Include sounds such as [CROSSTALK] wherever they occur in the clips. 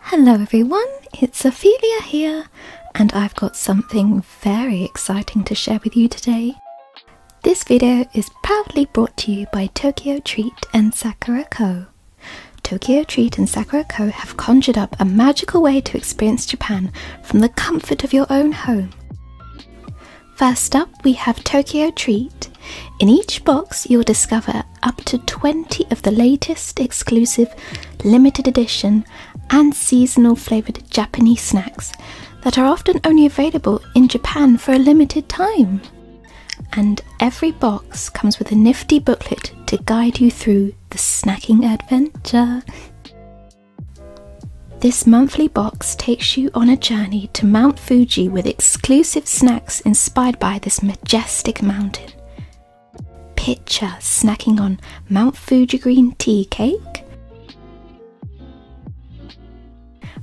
Hello everyone, it's Ophelia here, and I've got something very exciting to share with you today. This video is proudly brought to you by Tokyo Treat and Sakura Co. Tokyo Treat and Sakura Co have conjured up a magical way to experience Japan from the comfort of your own home. First up, we have Tokyo Treat, in each box, you'll discover up to 20 of the latest exclusive, limited edition, and seasonal flavoured Japanese snacks that are often only available in Japan for a limited time. And every box comes with a nifty booklet to guide you through the snacking adventure. This monthly box takes you on a journey to Mount Fuji with exclusive snacks inspired by this myth majestic mountain. Picture snacking on Mount Fuji green tea cake,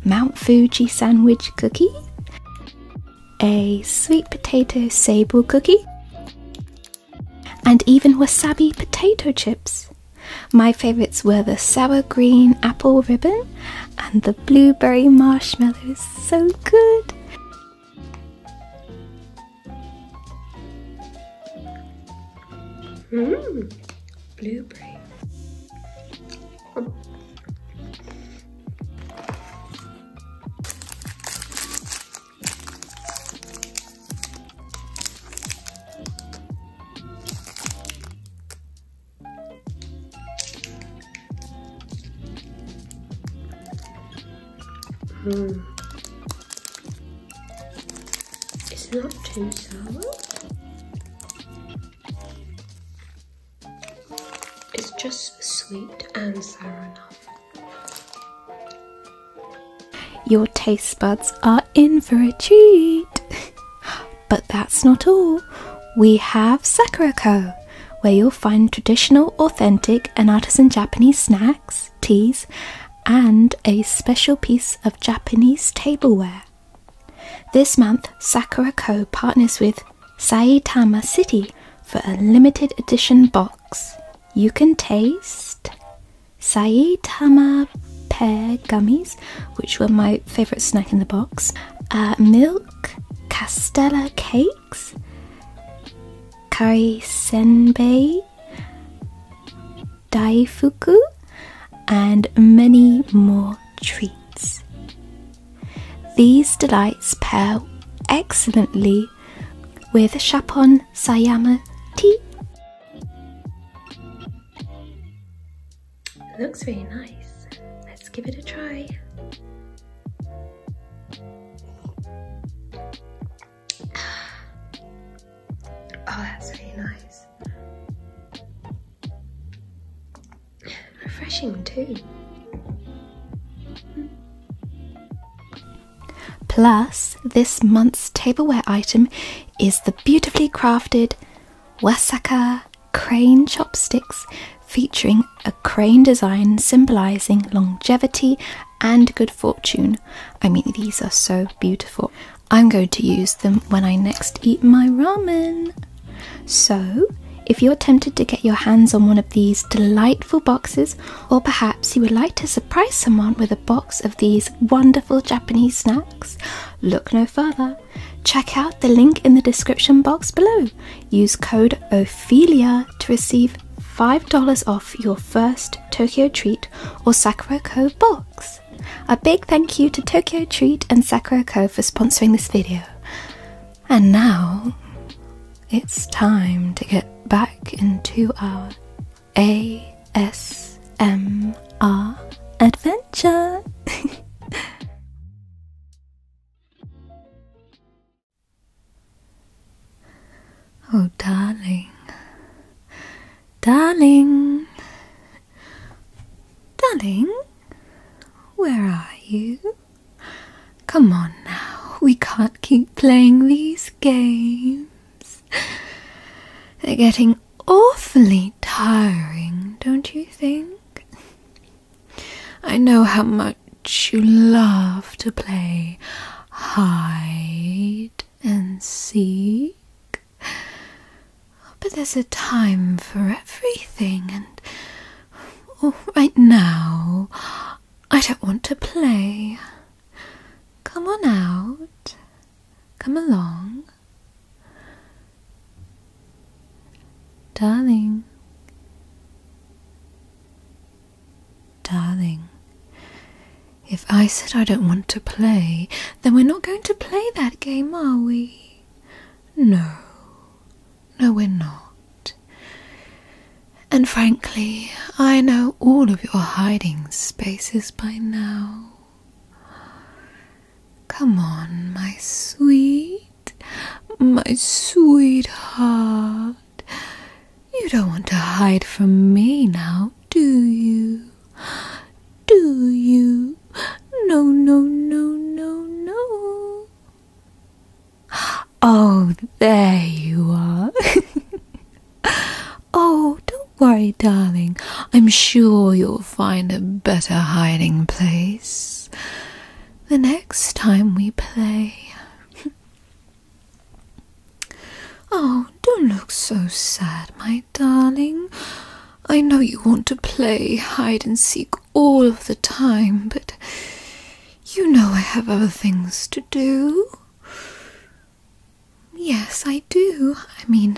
Mount Fuji sandwich cookie, a sweet potato sable cookie, and even wasabi potato chips. My favourites were the sour green apple ribbon and the blueberry marshmallows. So good! Mmm, blueberry. Um. Mm. It's not too sour. It's just sweet and sour enough. Your taste buds are in for a treat. [GASPS] but that's not all. We have Sakurako, where you'll find traditional, authentic, and artisan Japanese snacks, teas, and a special piece of Japanese tableware. This month, Sakura Co. partners with Saitama City for a limited edition box. You can taste Saitama pear gummies, which were my favourite snack in the box, uh, milk, castella cake, Kaisenbei, daifuku, and many more treats. These delights pair excellently with Chapon Sayama tea. looks very nice. Let's give it a try. Oh, that's really nice. Refreshing too. Plus, this month's tableware item is the beautifully crafted Wasaka crane chopsticks featuring a crane design symbolizing longevity and good fortune. I mean, these are so beautiful. I'm going to use them when I next eat my ramen. So, if you're tempted to get your hands on one of these delightful boxes, or perhaps you would like to surprise someone with a box of these wonderful Japanese snacks, look no further. Check out the link in the description box below use code Ophelia to receive $5 off your first Tokyo Treat or Sakura Co box. A big thank you to Tokyo Treat and Sakura Co for sponsoring this video. And now it's time to get back into our ASMR adventure. [LAUGHS] Oh, darling, darling, darling, where are you? Come on now, we can't keep playing these games. They're getting awfully tiring, don't you think? I know how much you love to play hide and seek. But there's a time for everything, and oh, right now I don't want to play. Come on out, come along. Darling, darling, if I said I don't want to play, then we're not going to play that game, are we? No, no, we're not. And frankly, I know all of your hiding spaces by now. Come on, my sweet my sweetheart. You don't want to hide from me now, do you? Do you? No, no, no, no, no. Oh, there you are. [LAUGHS] oh, don't worry, darling. I'm sure you'll find a better hiding place the next time we play. [LAUGHS] oh, don't look so sad, my darling. I know you want to play hide and seek all of the time, but you know I have other things to do. Yes, I do. I mean,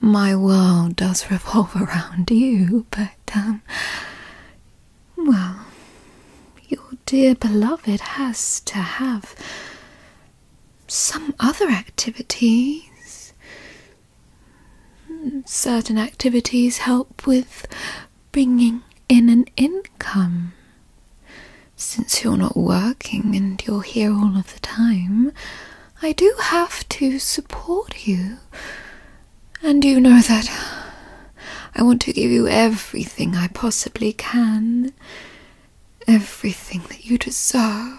my world does revolve [LAUGHS] around you, but um, well, your dear beloved has to have some other activities. Certain activities help with bringing in an income. Since you're not working and you're here all of the time, I do have to support you and you know that I want to give you everything I possibly can, everything that you deserve,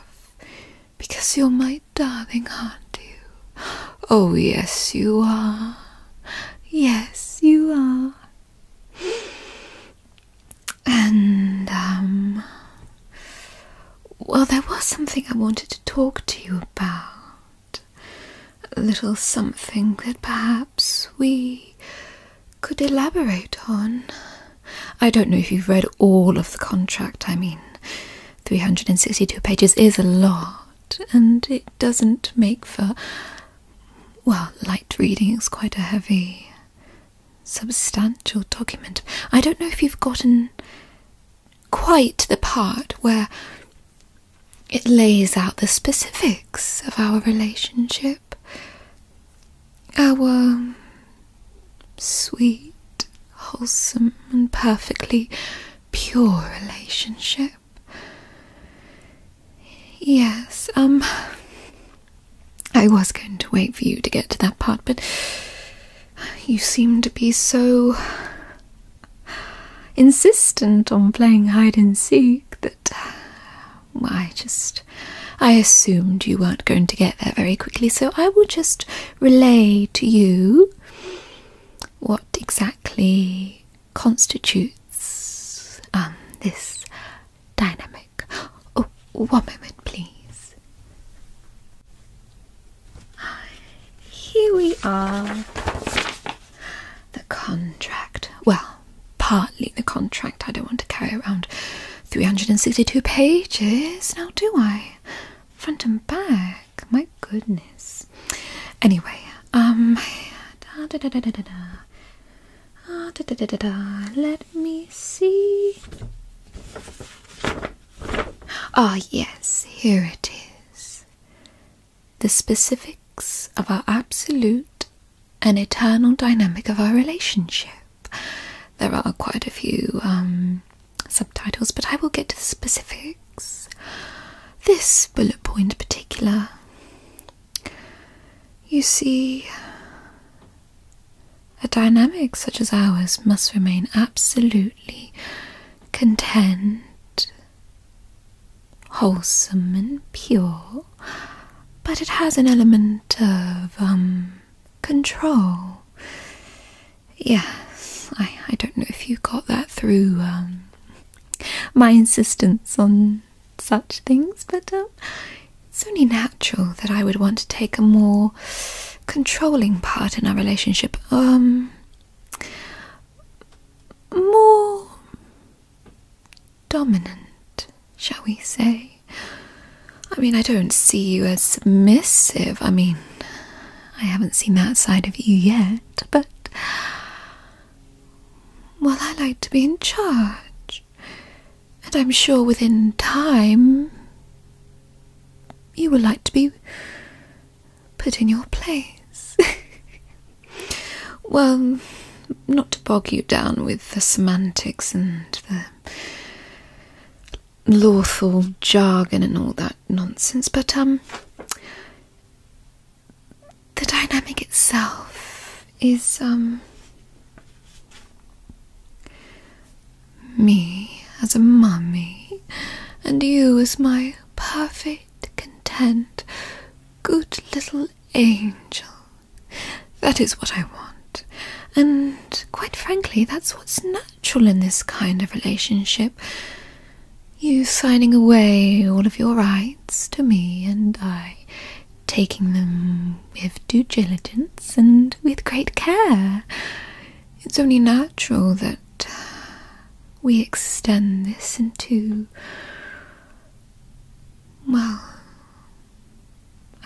because you're my darling, aren't you? Oh, yes, you are. Yes, you are. And, um, well, there was something I wanted to talk to you about a little something that perhaps we could elaborate on. I don't know if you've read all of the contract, I mean, 362 pages is a lot, and it doesn't make for. Well, light reading It's quite a heavy, substantial document. I don't know if you've gotten quite the part where it lays out the specifics of our relationship, our sweet, wholesome, and perfectly pure relationship. Yes, um, I was going to wait for you to get to that part, but you seem to be so insistent on playing hide and seek that uh, I just I assumed you weren't going to get there very quickly, so I will just relay to you what exactly constitutes um, this dynamic. Oh, one moment, please. Here we are. The contract. Well, partly the contract. I don't want to carry around 362 pages, now do I? Front and back. My goodness. Anyway, um. Da, da, da, da, da, da, da. Uh, da, da, da, da, da. Let me see. Ah, oh, yes, here it is the specifics of our absolute and eternal dynamic of our relationship. There are quite a few um, subtitles, but I will get to the specifics. This bullet point, in particular, you see, a dynamic such as ours must remain absolutely content wholesome and pure, but it has an element of um control. Yes, I I don't know if you got that through um my insistence on such things, but um, it's only natural that I would want to take a more controlling part in our relationship. Um more dominant, shall we say? I mean, I don't see you as submissive. I mean, I haven't seen that side of you yet, but. Well, I like to be in charge, and I'm sure within time you will like to be put in your place. [LAUGHS] well, not to bog you down with the semantics and the lawful jargon and all that nonsense, but um the dynamic itself is um me as a mummy and you as my perfect quite content, good little angel. That is what I want, and quite frankly, that's what's natural in this kind of relationship. You signing away all of your rights to me, and I taking them with due diligence and with great care. It's only natural that uh, we extend this into, well,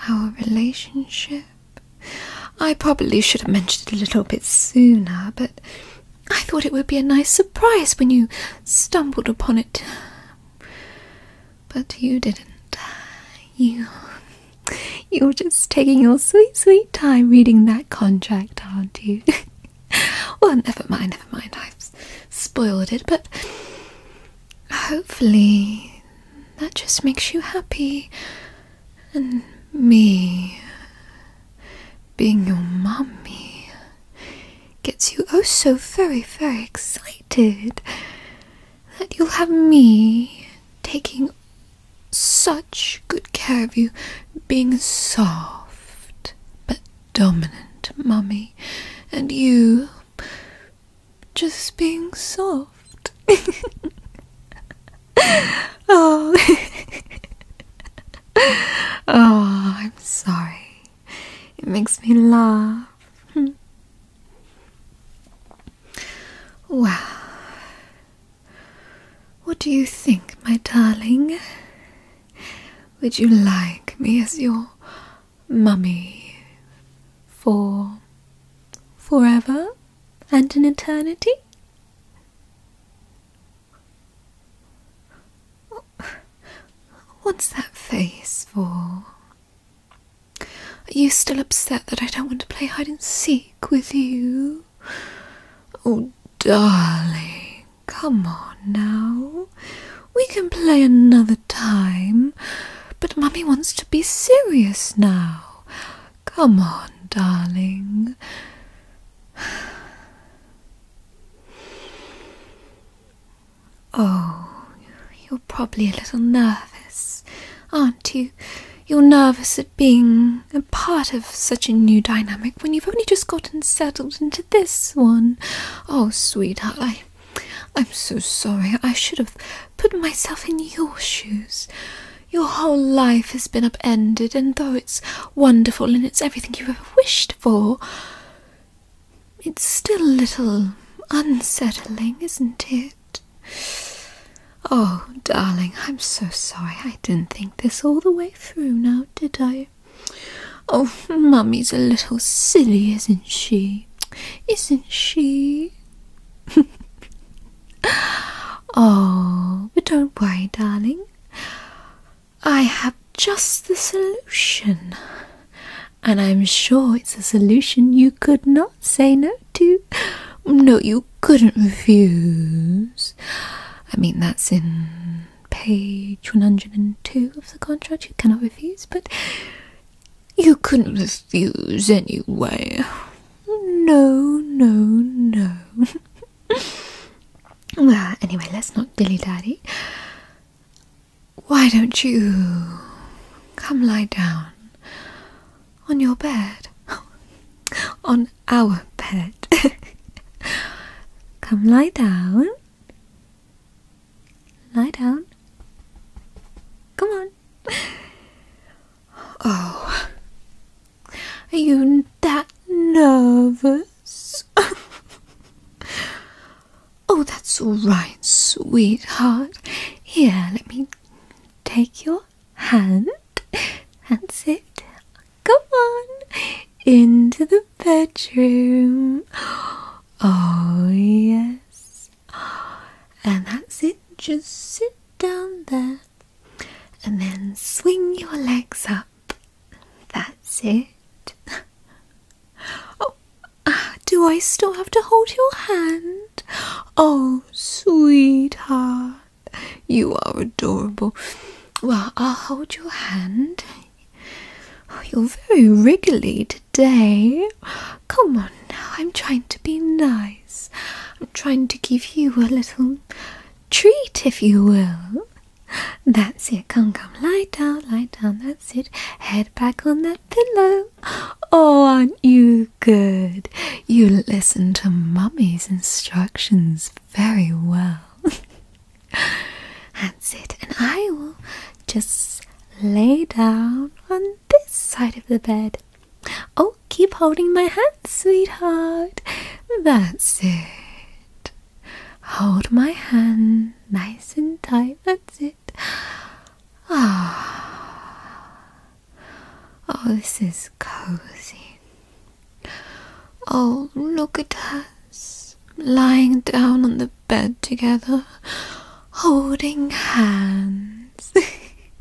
our relationship. I probably should have mentioned it a little bit sooner, but I thought it would be a nice surprise when you stumbled upon it. But you didn't. You. You're just taking your sweet, sweet time reading that contract, aren't you? [LAUGHS] [LAUGHS] well, never mind, never mind. I've spoiled it, but hopefully that just makes you happy. And me being your mummy gets you oh so very, very excited that you'll have me taking such good care of you, being soft but dominant, mummy, and you just being soft. [LAUGHS] oh. [LAUGHS] oh, I'm sorry. It makes me laugh. [LAUGHS] Wow. what do you think, my darling? Would you like me as your mummy for forever and an eternity? What's that face for? Are you still upset that I don't want to play hide and seek with you? Oh, darling, Come on now. We can play another time. But Mummy wants to be serious now. Come on, darling. [SIGHS] Oh, you're probably a little nervous, aren't you? You're nervous at being a part of such a new dynamic when you've only just gotten settled into this one. Oh, sweetheart, I, I'm so sorry. I should have put myself in your shoes. Your whole life has been upended, and though it's wonderful and it's everything you've ever wished for, it's still a little unsettling, isn't it? Oh, darling, I'm so sorry. I didn't think this all the way through now, did I? Oh, Mummy's a little silly, isn't she? Isn't she? [LAUGHS] oh, but don't worry, darling. I have just the solution, and I'm sure it's a solution you could not say no to. No, you couldn't refuse. I mean, that's in page 102 of the contract you cannot refuse, but you couldn't refuse anyway. No, no, no. well, [LAUGHS] ah, anyway, let's not dilly dally Why don't you come lie down on your bed? [LAUGHS] on our pet. [LAUGHS] Come lie down. Lie down. Come on. [LAUGHS] Oh, are you that nervous? [LAUGHS] oh, that's all right, sweetheart. Here, let me take your hand and sit Come on into the bedroom. [GASPS] Oh, yes. And that's it. Just sit down there and then swing your legs up. That's it. [GASPS] Oh, do I still have to hold your hand? Oh, sweetheart, you are adorable. Well, I'll hold your hand. Oh, you're very wriggly today. Come on now, I'm trying to be nice. I'm trying to give you a little treat, if you will. That's it. Come, come, lie down, lie down. That's it. Head back on that pillow. Oh, aren't you good? You listen to Mummy's instructions very well. [LAUGHS] [LAUGHS] That's it, and I will just lay down on this side of the bed. Oh, keep holding my hand, sweetheart. That's it. Hold my hand nice and tight. That's it. Ah. Oh. oh, this is cozy. Oh, look at us lying down on the bed together, holding hands.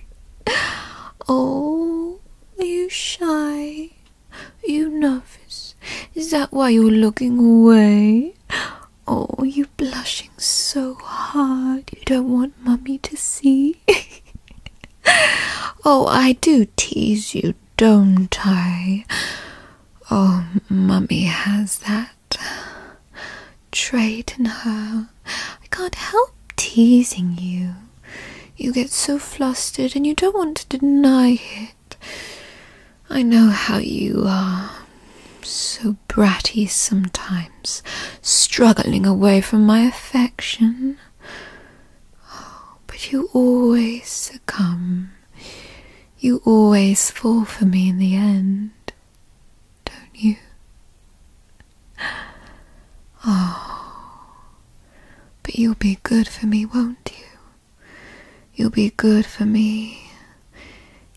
[LAUGHS] oh, are you shy? Are you nervous? Is that why you're looking away? Oh, you blushing so hard. You don't want mummy to see. [LAUGHS] oh, I do tease you, don't I? Oh, Mummy has that trait in her. I can't help teasing you. You get so flustered and you don't want to deny it. I know how you are. So bratty sometimes, struggling away from my affection. Oh, but you always succumb you always fall for me in the end, don't you? [GASPS] Oh, but you'll be good for me, won't you? You'll be good for me.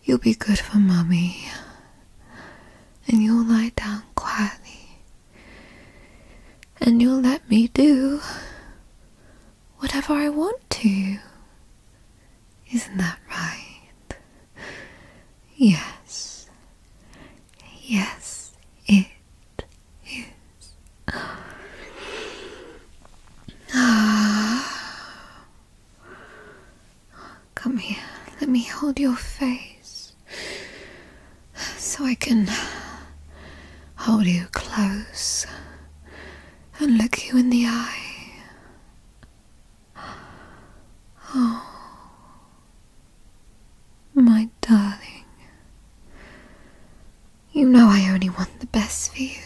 You'll be good for Mummy. And you'll lie down quietly. And you'll let me do whatever I want to. Isn't that right? Yes. Yes, it is. Ah. Come here, let me hold your face so I can hold you close and look you in the eye. Oh, my darling, you know I only want the best for you.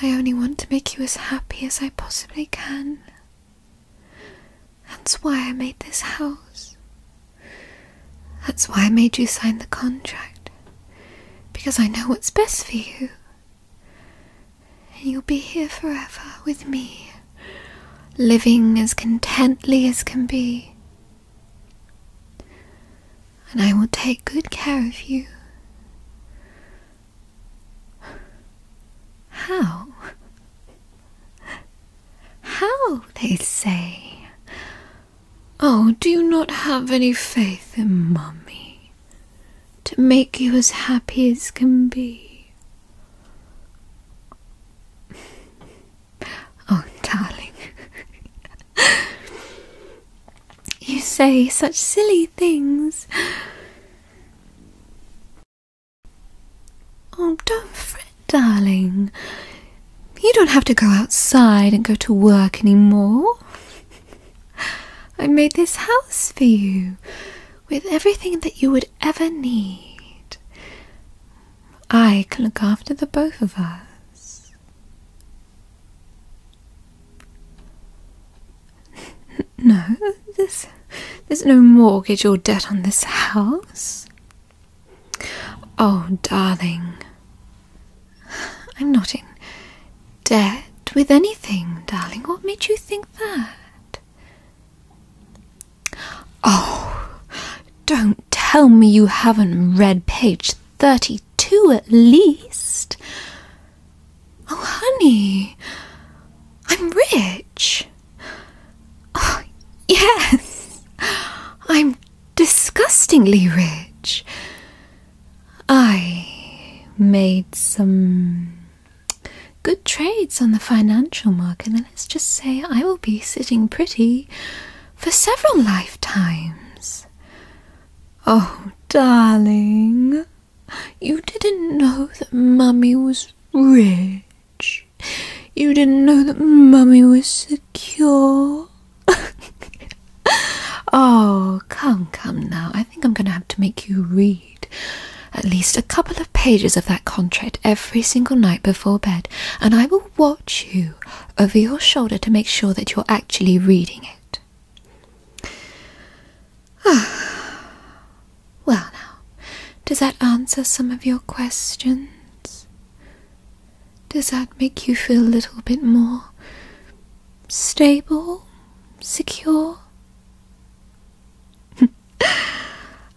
I only want to make you as happy as I possibly can. That's why I made this house. That's why I made you sign the contract. Because I know what's best for you. And you'll be here forever with me, living as contently as can be. And I will take good care of you. How? How, they say. Oh, do you not have any faith in Mummy to make you as happy as can be? [LAUGHS] Oh, darling, [LAUGHS] you say such silly things. [GASPS] Oh, don't fret, darling. You don't have to go outside and go to work anymore. I made this house for you with everything that you would ever need. I can look after the both of us. [LAUGHS] No, there's, there's no mortgage or debt on this house. Oh, darling, I'm not in debt with anything, darling. What made you think that? Oh, don't tell me you haven't read page 32 at least. Oh, honey, I'm rich. Oh, yes, I'm disgustingly rich. I made some good trades on the financial market, and let's just say I will be sitting pretty for several lifetimes. Oh, darling, you didn't know that Mummy was rich. You didn't know that Mummy was secure. [LAUGHS] oh, come, come now. I think I'm going to have to make you read at least a couple of pages of that contract every single night before bed, and I will watch you over your shoulder to make sure that you're actually reading it. Ah. [SIGHS] Well, now, does that answer some of your questions? Does that make you feel a little bit more stable? Secure? [LAUGHS]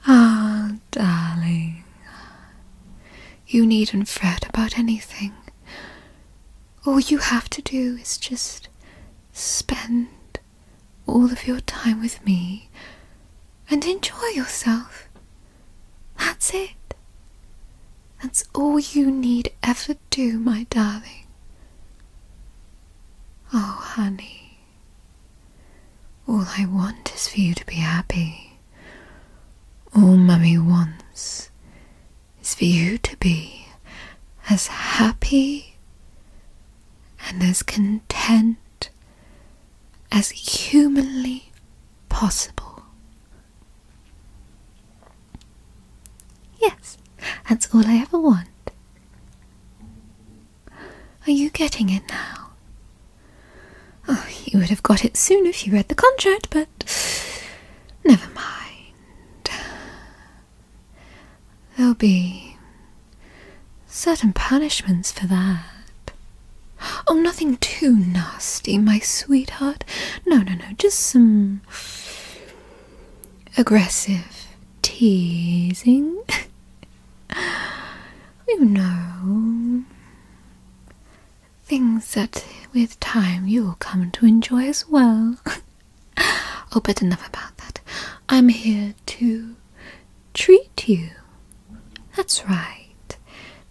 ah, darling, you needn't fret about anything. All you have to do is just spend all of your time with me and enjoy yourself. That's it. That's all you need ever do, my darling. Oh, honey, all I want is for you to be happy. All Mummy wants is for you to be as happy and as content as humanly possible. Yes, that's all I ever want. Are you getting it now? Oh, you would have got it soon if you read the contract, but never mind. There'll be certain punishments for that. Oh, nothing too nasty, my sweetheart. No, no, no, just some aggressive teasing. [LAUGHS] you know, things that with time you'll come to enjoy as well. [LAUGHS] oh, but enough about that. I'm here to treat you. That's right.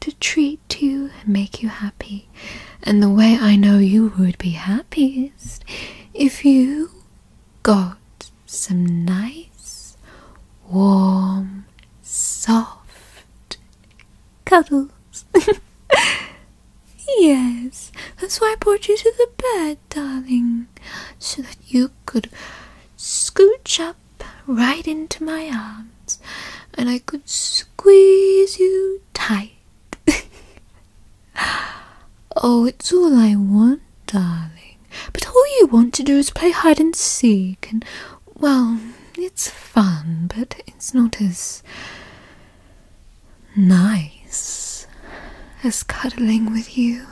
To treat to make you happy. And the way I know you would be happiest if you got some nice, warm, soft cuddles. [LAUGHS] yes, that's why I brought you to the bed, darling, so that you could scooch up right into my arms and I could squeeze you tight. [LAUGHS] oh, it's all I want, darling. But all you want to do is play hide and seek, and well, it's fun, but it's not as nice as cuddling with you.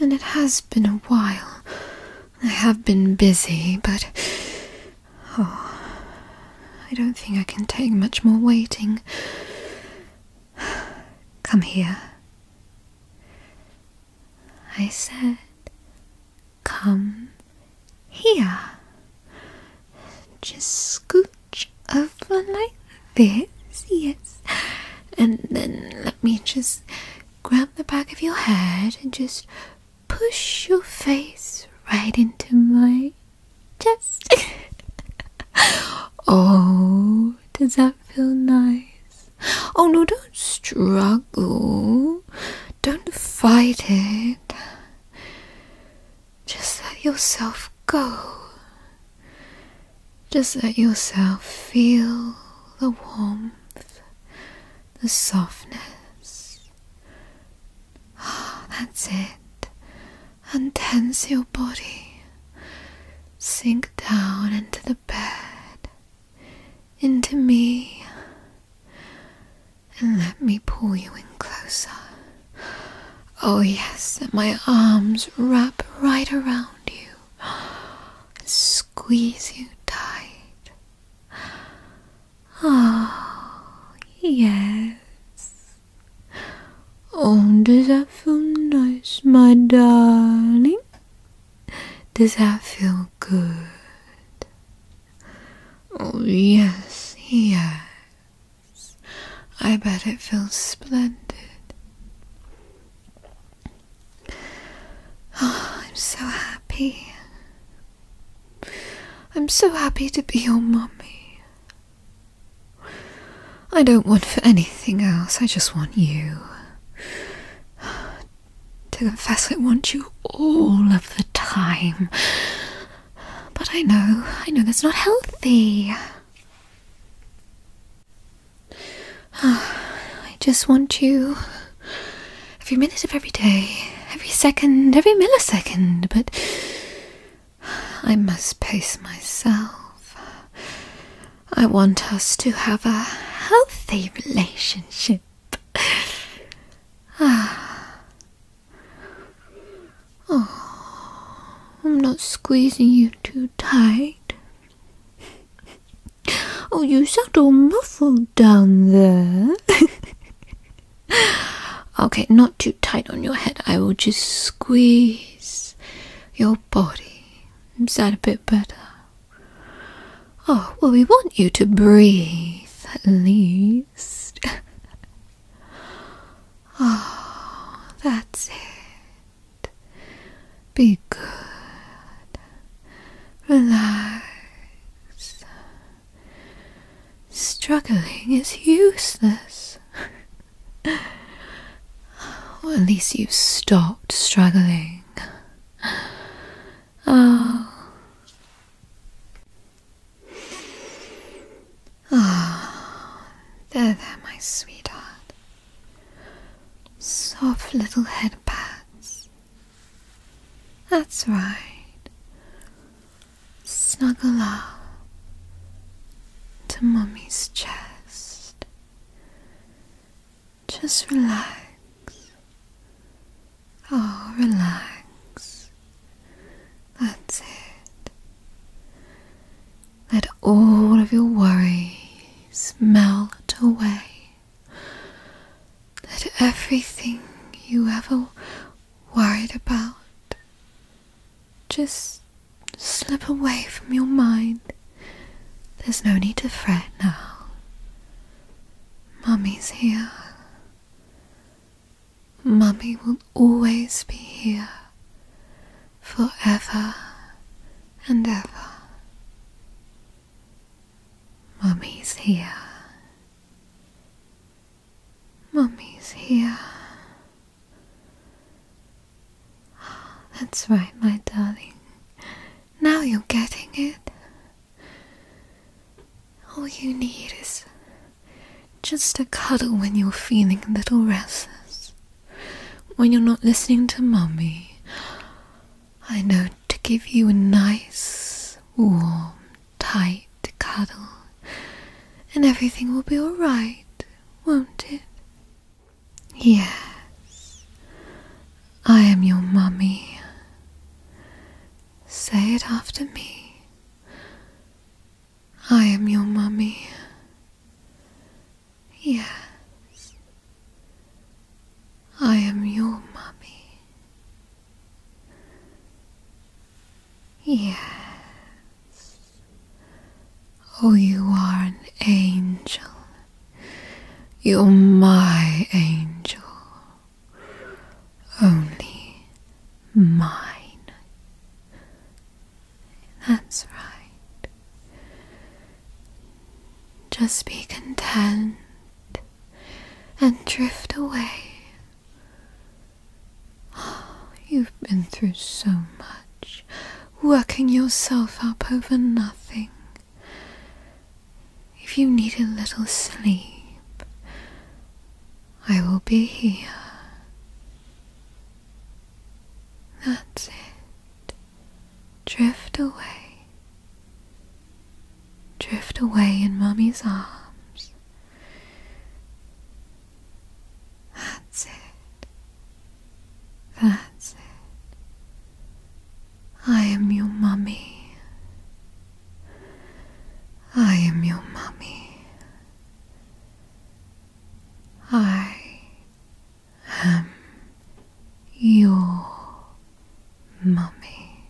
And it has been a while. I have been busy, but. Oh, I don't think I can take much more waiting. Come here. I said, Come here. Just scooch over like this, yes. And then let me just grab the back of your head and just push your face right into my chest. [LAUGHS] oh, does that feel nice? Oh no, don't struggle. Don't fight it. Just let yourself go. Just let yourself feel the warmth the softness. Ah, that's it. and Untense your body. Sink down into the bed, into me, and let me pull you in closer. Oh, yes, and my arms wrap right around you, squeeze you tight. Oh yes. Oh, does that feel nice, my darling? Does that feel good? Oh, yes, yes. I bet it feels splendid. [SIGHS] I'm so happy. I'm so happy to be your mummy. I don't want for anything else, I just want you. [SIGHS] To confess, I want you all of the time. But I know, I know that's not healthy. [SIGHS] I just want you every minute of every day, every second, every millisecond, but I must pace myself. I want us to have a healthy relationship. Ah. Oh, I'm not squeezing you too tight. Oh, you sound all muffled down there. [LAUGHS] okay, not too tight on your head. I will just squeeze your body. Is that a bit better? Oh, well, we want you to breathe at least. oh, [LAUGHS] that's it. Be good. Relax. Struggling is useless. [LAUGHS] at least you've stopped struggling. Oh. Oh, there, there, my sweetheart. Soft little head pats. That's right. Snuggle up to Mummy's chest. Just relax. Oh, relax. That's it. Let all of your worries melt away that everything you ever worried about just slip away from your mind. There's no need to fret now. Mummy's here. Mummy will always be here forever and ever. Mummy's here. Mummy's here. That's right, my darling. Now you're getting it. All you need is just a cuddle when you're feeling a little restless, when you're not listening to Mummy, I know to give you a nice, warm, tight cuddle, and everything will be all right, won't it? Yes, I am your mummy. Say it after me. I am your mummy. Yes, I am your mummy. Yes. Oh, you are an angel. You're my angel. Only mine. That's right. Just be content and drift away. [GASPS] you've been through so much, working yourself up over nothing. If you need a little sleep, I will be here. That's it. Drift away drift away in Mummy's arms. That's it. That's it. I am your mummy. I am your mummy. I am your mummy,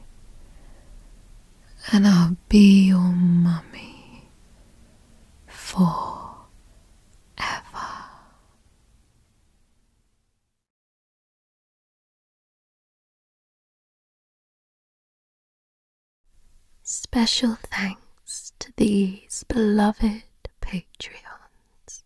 and I'll be your mummy for ever. Special thanks to these beloved Patreons.